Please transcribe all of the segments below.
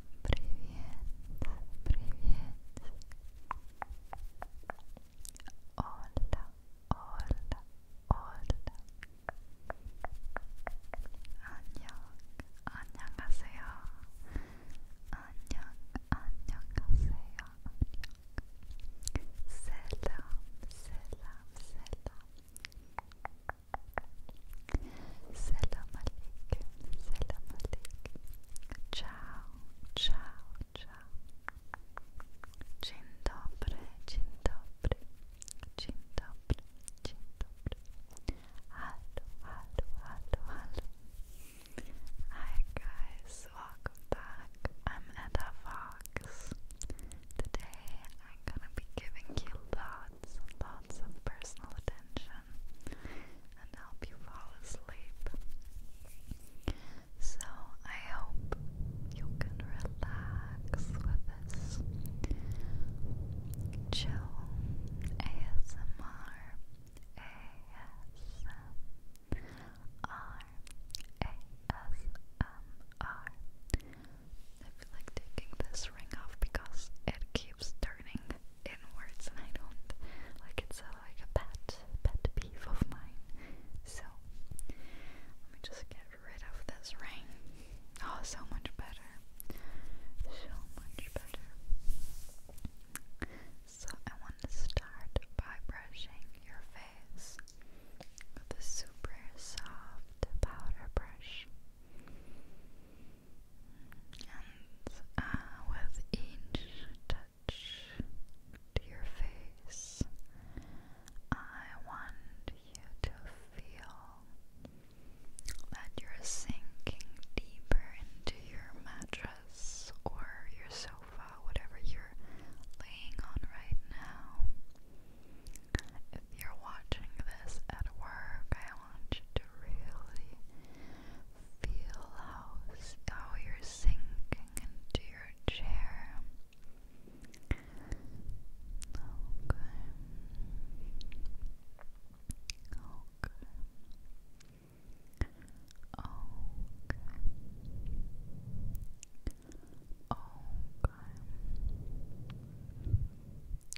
привет. Hola, hola, hola. 안녕, 안녕하세요. 안녕, 안녕하세요. Selam, selam, selam. Salam alaikum, salam alaikum. Ciao, ciao, ciao. Dzień dobry, dzień dobry, dzień dobry, dzień dobry. Hello, hello, hello, hello. Hi guys, welcome back. I'm Edda Fox. Today I'm gonna be giving you lots and lots of personal attention and help you fall asleep. So, I hope you can relax with this chill ASMR. ASMR. I feel like taking this ring off because it keeps turning in and I don't like it's like a pet pet peeve of mine. So let me just get rid of this ring. Oh, so much better. So much better. So I want to start by brushing your face with a super soft powder brush and uh, with each touch to your face, I want you to feel that you're sinking deeper into your mattress or your sofa, whatever you're laying on right now. If you're watching this at work, I want you to really Feel how, how you're sinking into your chair. Okay. Okay. Okay. Okay.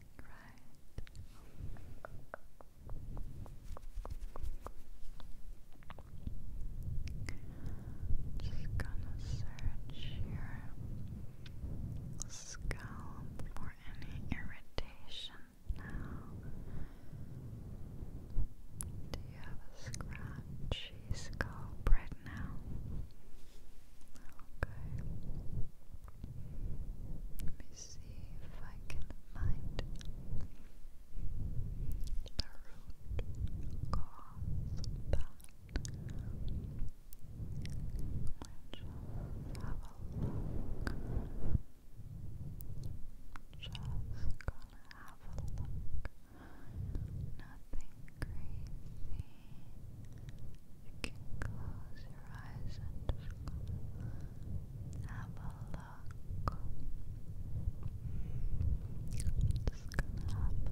Right. Just gonna search your scalp for any irritation now. Do you have a scratchy scalp right now. Okay. Let me see if I can find the root cause of that. Let's just have a look. Just gonna have a look. Now nothing crazy. You can close your eyes and just have a look. Just gonna have a look. Just gonna have a look.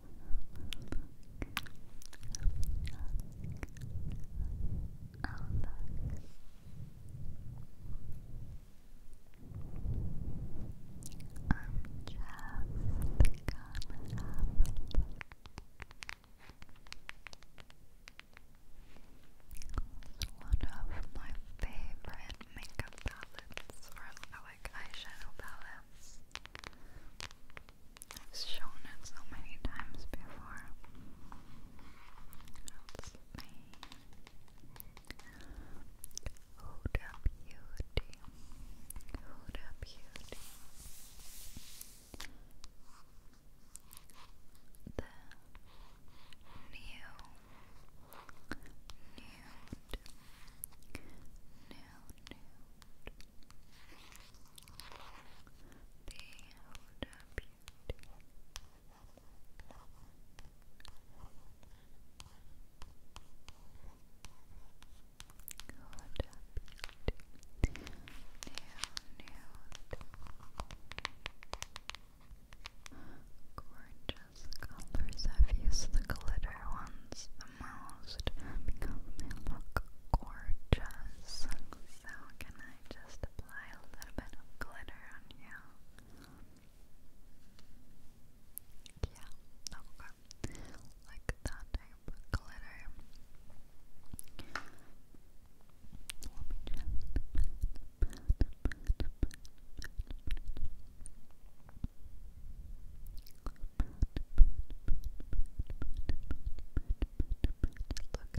It's one of my favorite makeup palettes, or like eyeshadow palettes. I've shown it so many times before. That's me. Huda Beauty. Huda Beauty. The new, nude, new, new Huda Beauty. Huda Beauty. New, new. Gorgeous colors. I've used the glitter ones. The most because look gorgeous. So, can I just apply a little bit of glitter on you? Yeah, okay. Like that type of glitter. Look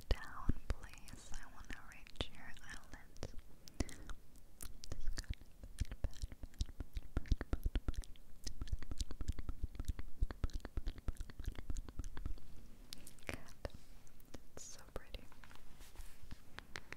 down, please. I want to reach your eyelids. Good. It's so pretty. Good.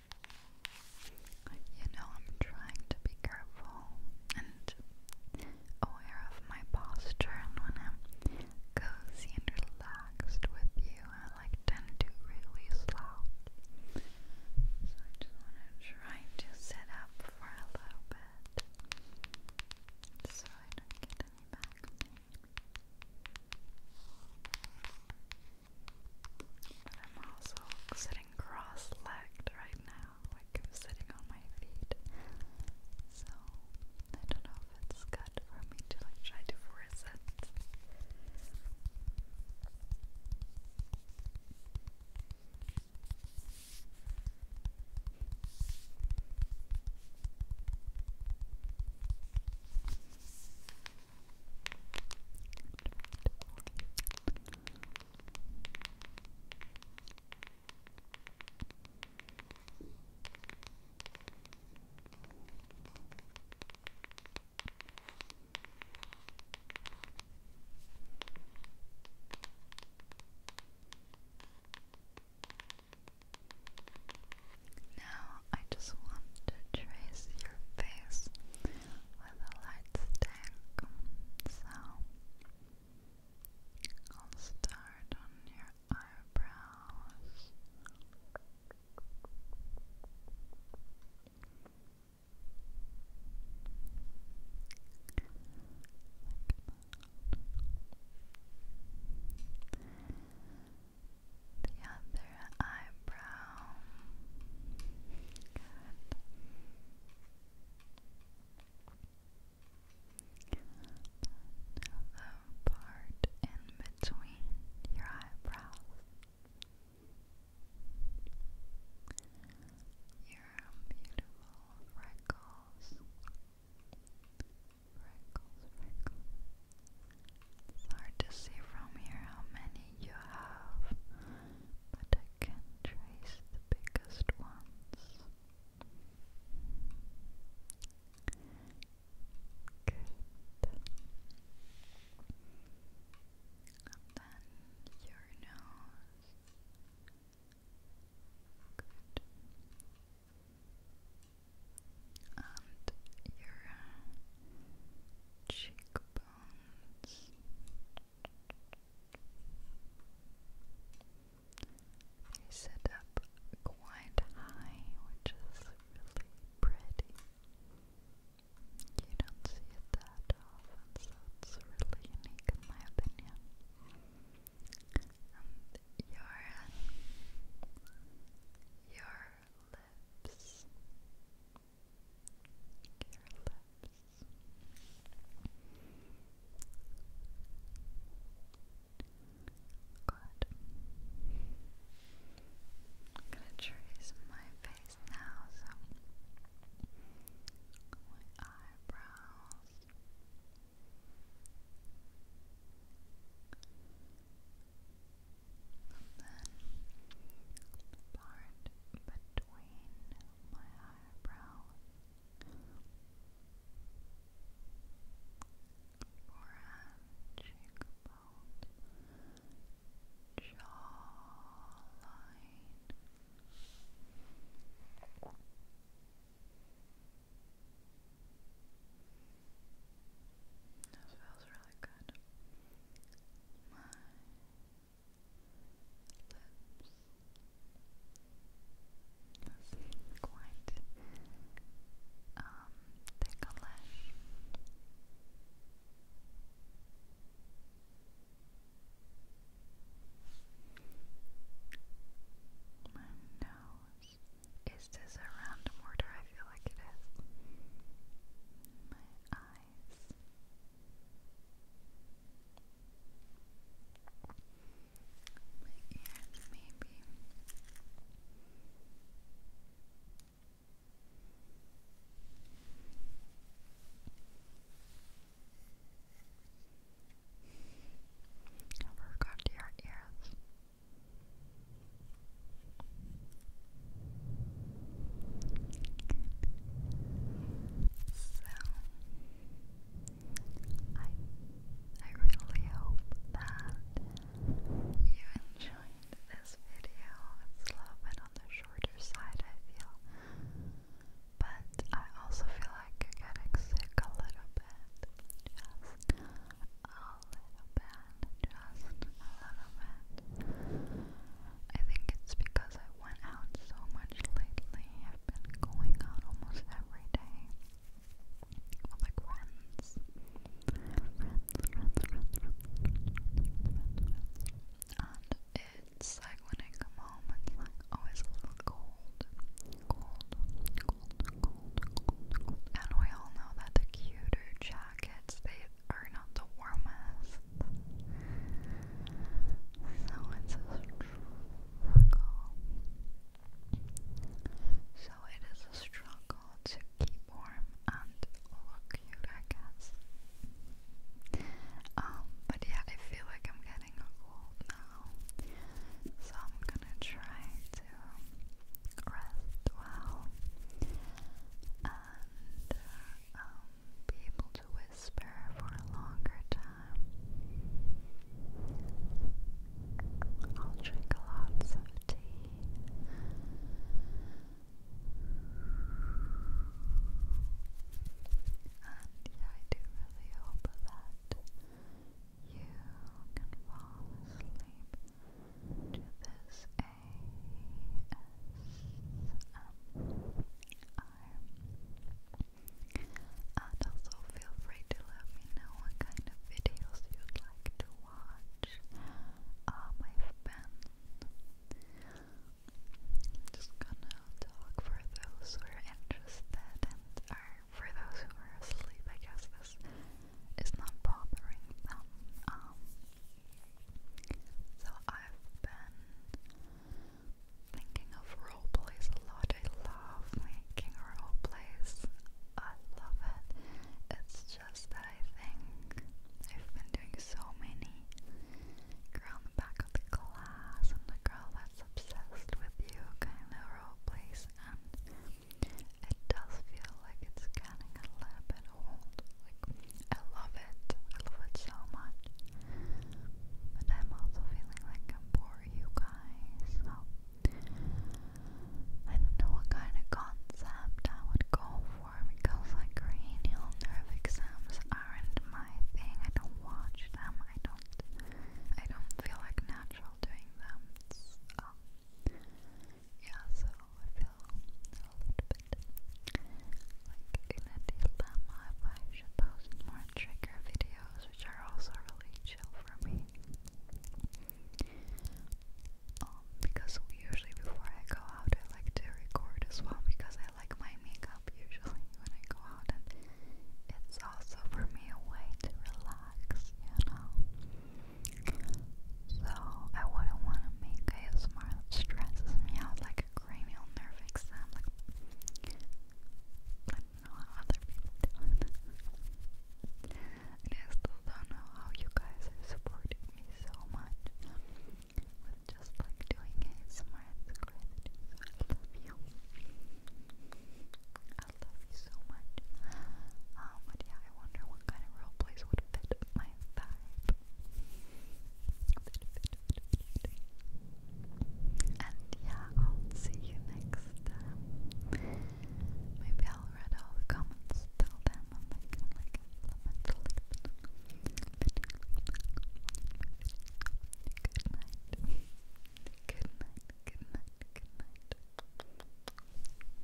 You know, I'm trying to be careful and aware of my posture, and when I'm cozy and relaxed with you, I like tend to really slouch. So I just want to try up for a little bit so I don't get any back pain. But I'm also sitting cross-legged right now, like sitting on my feet. So I don't know if it's good for me to like try to force it. Now I just want to trace your face with a light I'll start on your eyebrows. The other eyebrow. The part in between your eyebrows. Your beautiful freckles. Freckles, freckles. It's hard to see from here how many you have, but I can trace the biggest ones. Good. And then your nose. Good. And your uh, cheekbone bones. sit up quite high, which is really pretty. You don't see it that often, so it's really unique in my opinion. And your your lips. Your lips. Good. I'm gonna trace my face now, so my eyebrows. And then part between my eyebrow, forehead, cheekbone, jawline. This feels really good my lips. This quite um, ticklish. My nose. Is this a random order? I feel like it is. My eyes. My ears, maybe. I forgot your ears. So I I really hope that you enjoyed this video. It's a little on the shorter side I feel. But I also feel like getting sick a little bit. Just um, bad, just a little bit. I think it's because I went out so much lately. I've been going out almost every day with like friends. Friends, friends, friends, friends. And it's like when I come home, it's like always a little cold. Cold, cold, cold, cold, cold. And we all know that the cuter jackets, they are not the warmest. So it's a struggle. So it is a struggle to keep warm and look cute, I guess. Um, but yeah, I feel like I'm getting cold now. So I'm gonna try to rest well and um, be able to whisper for a longer time. I'll drink lots of tea. And I do really hope that you can fall asleep to this ASMR. And also feel free to let me know what kind of videos you'd like to watch. Um, i just gonna talk for those who are interested and are for those who are asleep. I guess this is not bothering them. Um, so I've been thinking of role plays a lot. I love making role plays. I love it. It's just that I think I've been doing so many. Girl in the back of the class and the girl that's obsessed with you kind of role plays and it does feel like it's scanning a little bit old. Like, I love it. I love it so much. But I'm also feeling like I'm boring you guys. So, I don't know what kind of concept I would go for because, like, cranial nerve exams aren't my thing. I don't watch them. I don't. I don't feel like natural doing them yeah, so I feel a little bit like in a dilemma if I should post more trigger videos, which are also really chill for me. Um, because usually before I go out, I like to record as well because I like my makeup usually when I go out, and it's also for me a way to relax, you know. So I wouldn't want to make ASMR that stresses me out like a cranial nerve exam. Like don't know how other people do and I still don't know how you guys are supporting me so much with just like doing ASMR. It's crazy. So I love you. I love you so much. Um, but yeah, I wonder what kind of role plays would fit my vibe. And yeah, I'll see you next time. Maybe I'll read all the comments, tell them, and they can like implement Good night. Good night. Good night. Good night.